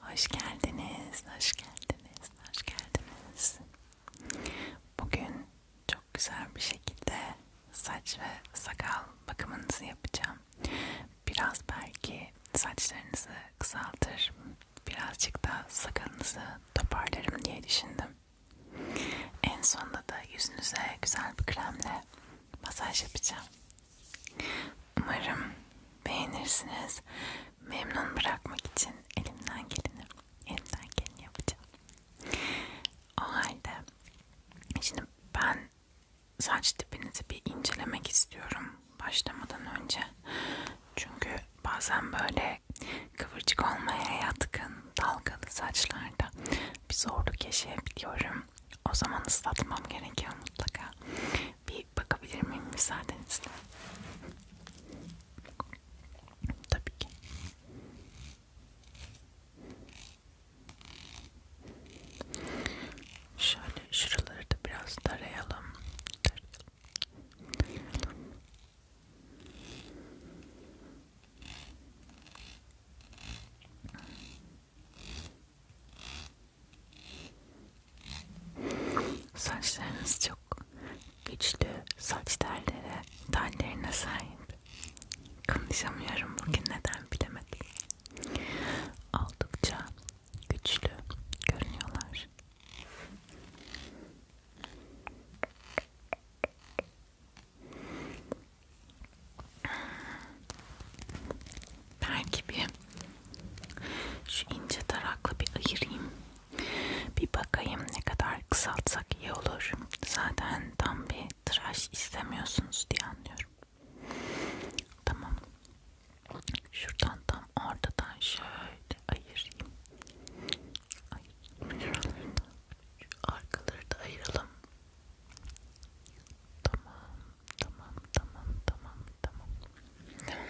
Hoş geldiniz, hoş geldiniz, hoş geldiniz. Bugün çok güzel bir şekilde saç ve sakal bakımınızı yapacağım. Biraz belki saçlarınızı kısaltır, birazcık da sakalınızı toparlarım diye düşündüm. En sonunda da yüzünüze güzel bir kremle masaj yapacağım. Umarım beğenirsiniz. Memnun bırakmak için elimden geleni, elimden geleni yapacağım. O halde şimdi ben saç tipinizi bir incelemek istiyorum başlamadan önce. Çünkü bazen böyle kıvırcık olmaya yatkın dalgalı saçlarda bir zorluk yaşayabiliyorum. O zaman ıslatmam gerekiyor mutlaka. Bir bakabilir miyim müsaadenizle? Tabii ki. Şöyle şuraları da biraz tarayalım. tarayalım. tarayalım. Saçlarınız çok güçlü saç telleri, tellerine sahip. Konuşamıyorum bugün neden bilemedim. Oldukça güçlü görünüyorlar belki bir şu ince tarakla bir ayırayım bir bakayım ne kadar kısaltsak iyi olur zaten tam bir tıraş istemiyorsunuz diye anlıyorum tamam şuradan tam ortadan şöyle ayırayım Ay, şuraları da, şu arkaları da ayıralım Tamam, tamam, tamam, tamam, tamam.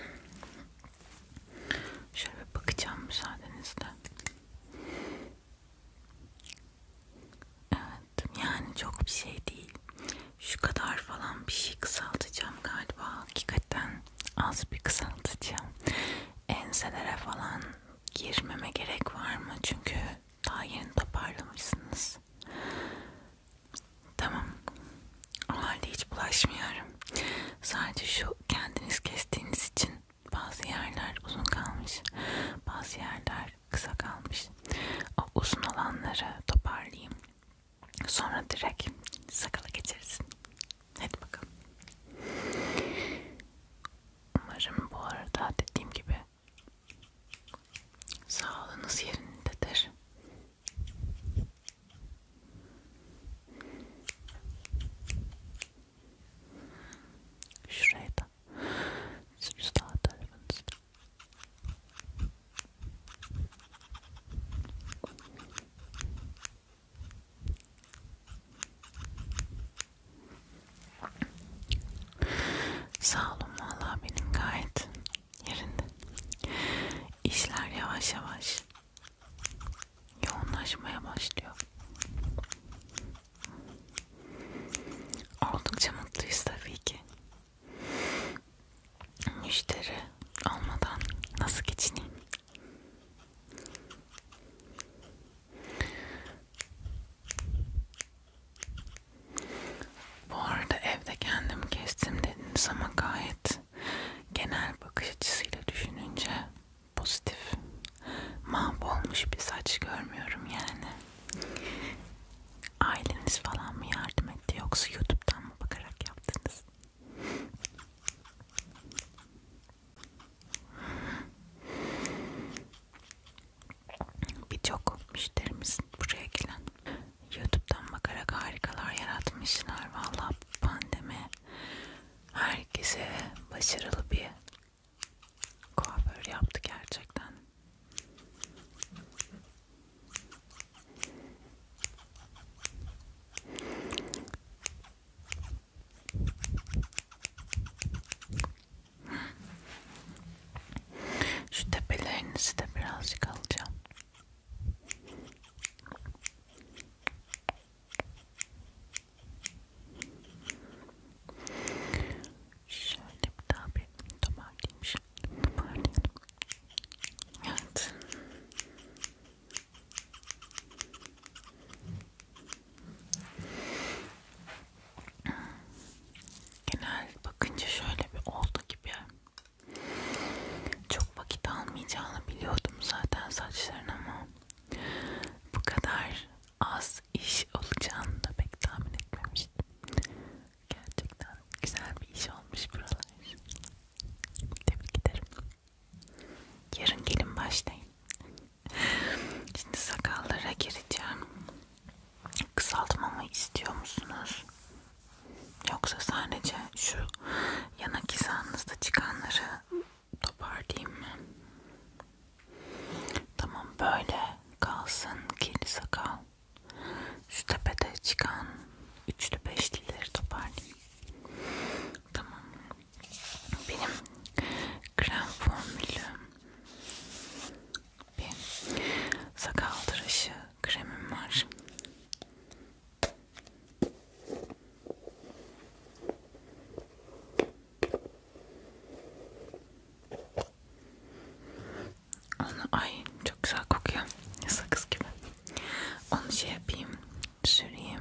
Şöyle bir bakacağım müsaadenizle. Evet, yani çok bir şey değil. Şu kadar falan bir şey kısaltacağım galiba. Hakikaten az bir kısaltacağım. Enselere falan girmeme gerek var mı? Çünkü daha yeni toparlamışsınız. Tamam. O halde hiç bulaşmıyorum. Sadece şu kendiniz kestiğiniz için bazı yerler uzun kalmış, bazı yerler kısa kalmış. O uzun olanları toparlayayım. Sonra direkt sakala geçeriz. Hadi bakalım. Umarım bu arada dediğim gibi Sağlığınız yerindedir. Şuraya da siz sağ tarafınızda. Sağ olun valla benim gayet yerinde. İşler yavaş yavaş yoğunlaşmaya başlıyor. Oldukça mutluyuz tabii ki. Müşteri olmadan nasıl geçineyim? Bu arada evde kendim kestim dediniz ama gayet genel bakış açısıyla düşününce pozitif. Mahvolmuş bir saç görmüyorum yani. Aileniz falan mı yardım etti yoksa YouTube'dan mı bakarak yaptınız? Birçok müşterimiz buraya gelen YouTube'dan bakarak harikalar yaratmışlar. Valla pandemi herkese başarılı bir kuaför yaptı gerçekten. Şu tepelerinizi de birazcık alacağım. Şöyle bir daha bir toparlayayım şimdi. Toparlayayım. Evet genel bakınca şöyle bir oldu gibi çok vakit almayacağını biliyordum zaten saçların ama bu kadar az iş olacağını da pek tahmin etmemiştim gerçekten güzel bir iş olmuş buralar tebrik ederim yarın gelin başlayın şimdi sakallara gireceğim kısaltmamı istiyor musunuz? Yoksa sadece şu yanak hizanızda çıkanları toparlayayım mı? Tamam böyle kalsın kirli sakal. Şu tepede çıkan üçlü beşlileri toparlayayım. Tamam. Benim krem formülü bir sakaldırışı kremim var. Onu ay çok güzel kokuyor. Sakız gibi. Onu şey yapayım, süreyim.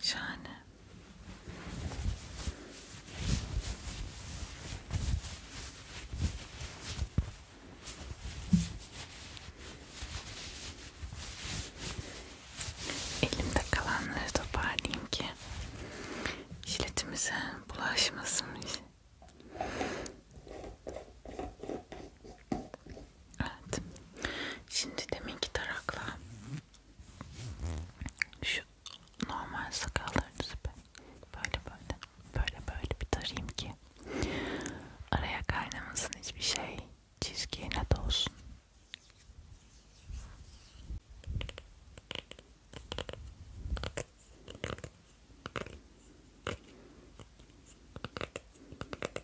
Şahane. Elimde kalanları toparlayayım ki işletimize bulaşmasın. Evet. Şimdi deminki tarakla şu normal sakallarınızı böyle böyle böyle böyle bir tarayayım ki araya kaynamasın hiçbir şey çizgiyle de olsun.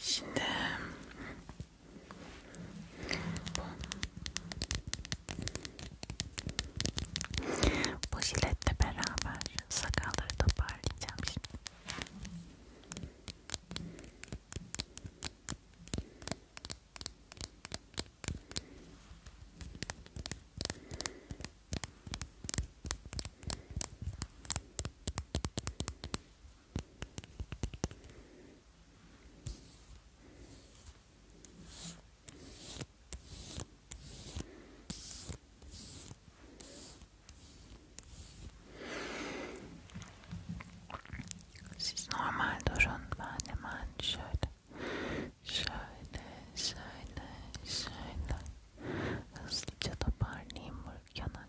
Şimdi bu, bu jiletle beraber sakalları toparlayacağım şimdi. Siz normal durun. Ben hemen şöyle, şöyle, şöyle, şöyle hızlıca toparlayayım bu yana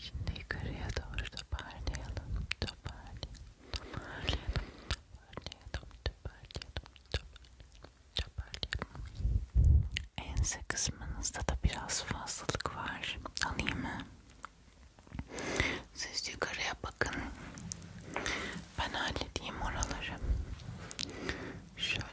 Şimdi yukarıya doğru toparlayalım, toparlayalım, toparlayalım, toparlayalım, toparlayalım, toparlayalım, toparlayalım. biraz fazlalık var. Alayım mı? Siz yukarıya bakın. Ben halledeyim oraları. Şöyle.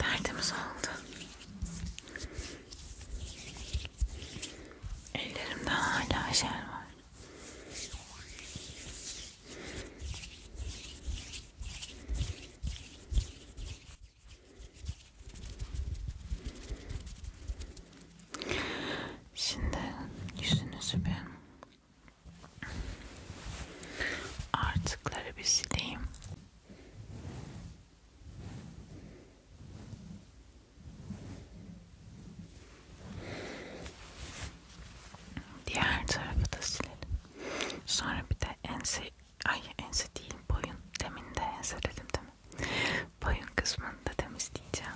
Derdimiz oldu. Ellerimde hala şer var. Şimdi yüzünüzü ben Artıkları bir sileyim. Diğer tarafı da silelim. Sonra bir de ense, ay ense değil boyun. Demin de ense dedim değil mi? Boyun kısmını da temizleyeceğim.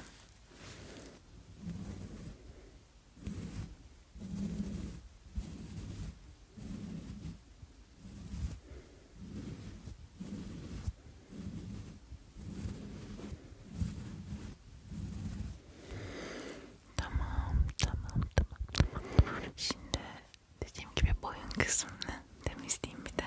Tamam, tamam, tamam, tamam. Şimdi dediğim gibi boyun kısmını temizleyeyim bir de.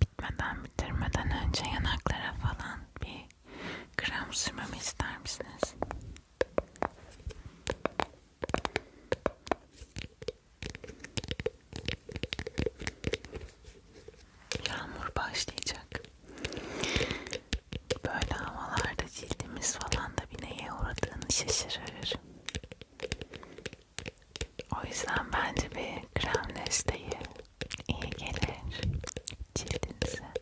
bitmeden bitirmeden önce yanaklara falan bir krem sürmemi ister misiniz? Yağmur başlayacak. Böyle havalarda cildimiz falan da bir neye uğradığını şaşırır. O yüzden bence bir krem desteği iyi gelir cildinize.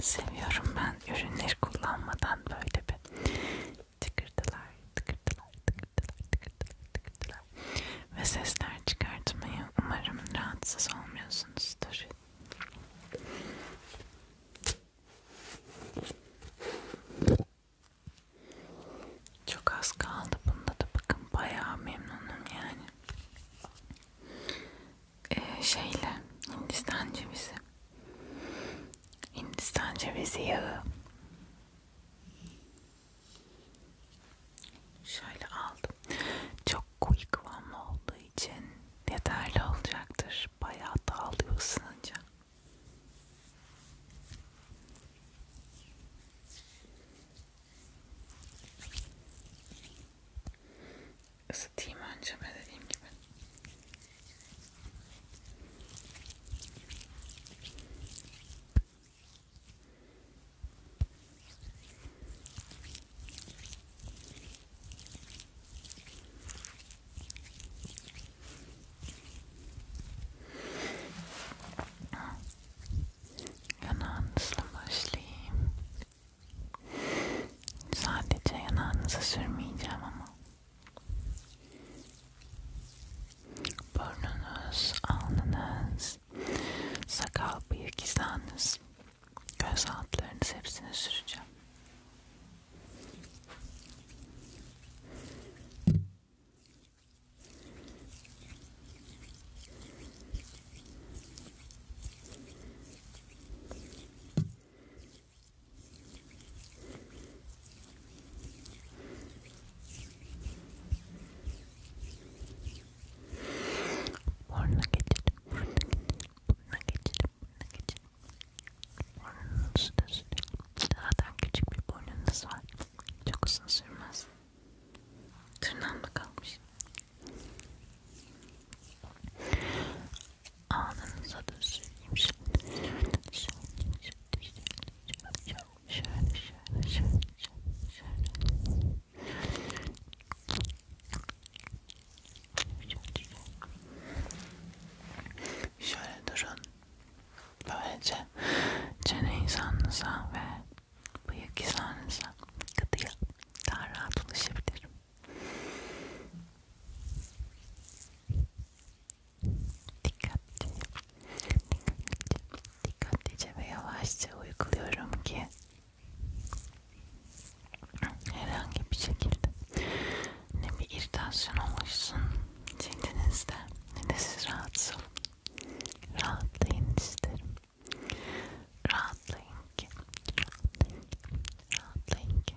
Seviyorum ben ürünleri kullanmadan böyle bir tıkırtılar, tıkırtılar, tıkırtılar, tıkırtılar, tıkırtılar ve sesler çıkartmayı umarım rahatsız olmuyorsunuzdur. Çok az kaldı bunda da bakın bayağı memnunum yani. Ee, şeyle Hindistan cevizi Hindistan cevizi yağı. Şöyle aldım. Çok koyu kıvamlı olduğu için yeterli olacaktır. Bayağı dağılıyor ısınınca. Isıtayım önce dediğim gibi. Yanağınızla başlayayım. Sadece yanağınıza sürmeyeceğim ama Burnunuz, alnınız, sakal bıyık izleriniz, göz altlarınız hepsini süreceğim. Burnuna geçelim, burnuna geçelim, burnuna geçelim, burnuna geçelim. Burnunuzu da sürelim. Zaten küçük bir burnunuz var. Çok uzun sürmez. Tırnağımda kalmış. Ağzınıza da süreyim şimdi. Şöyle şöyle şöyle şöyle şöyle. Şöyle durun. Böylece çene insanınıza ve bıyık insanınıza gıdıya daha rahat ulaşabilirim. Dikkatli, dikkatli, dikkatlice ve yavaşça uyguluyorum ki herhangi bir şekilde ne bir irritasyon oluşsun cildinizde ne de siz rahatsız olun. Rahatlayın isterim. Rahatlayın ki, rahatlayın ki, rahatlayın ki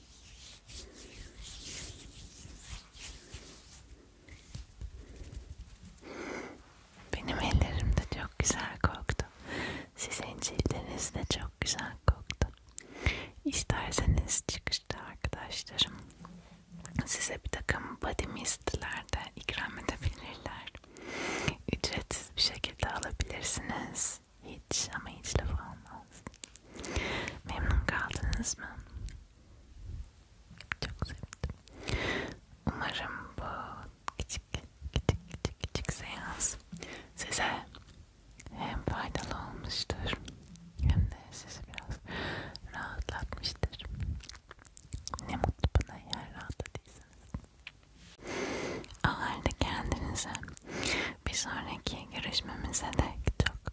Benim ellerim de çok güzel koktu. Sizin cildiniz de çok güzel koktu. İsterseniz çıkışta arkadaşlarım size bir takım body mistler de ikram edebilirler. Ücretsiz bir şekilde alabilirsiniz. Hiç ama hiç laf olmaz. Memnun kaldınız mı? Çok sevdim. Umarım bu küçük küçük küçük küçük seans size hem faydalı olmuştur hem de sizi biraz rahatlatmıştır. Ne mutlu bana eğer rahatladıysanız. O halde kendinize bir sonraki görüşmemize de çok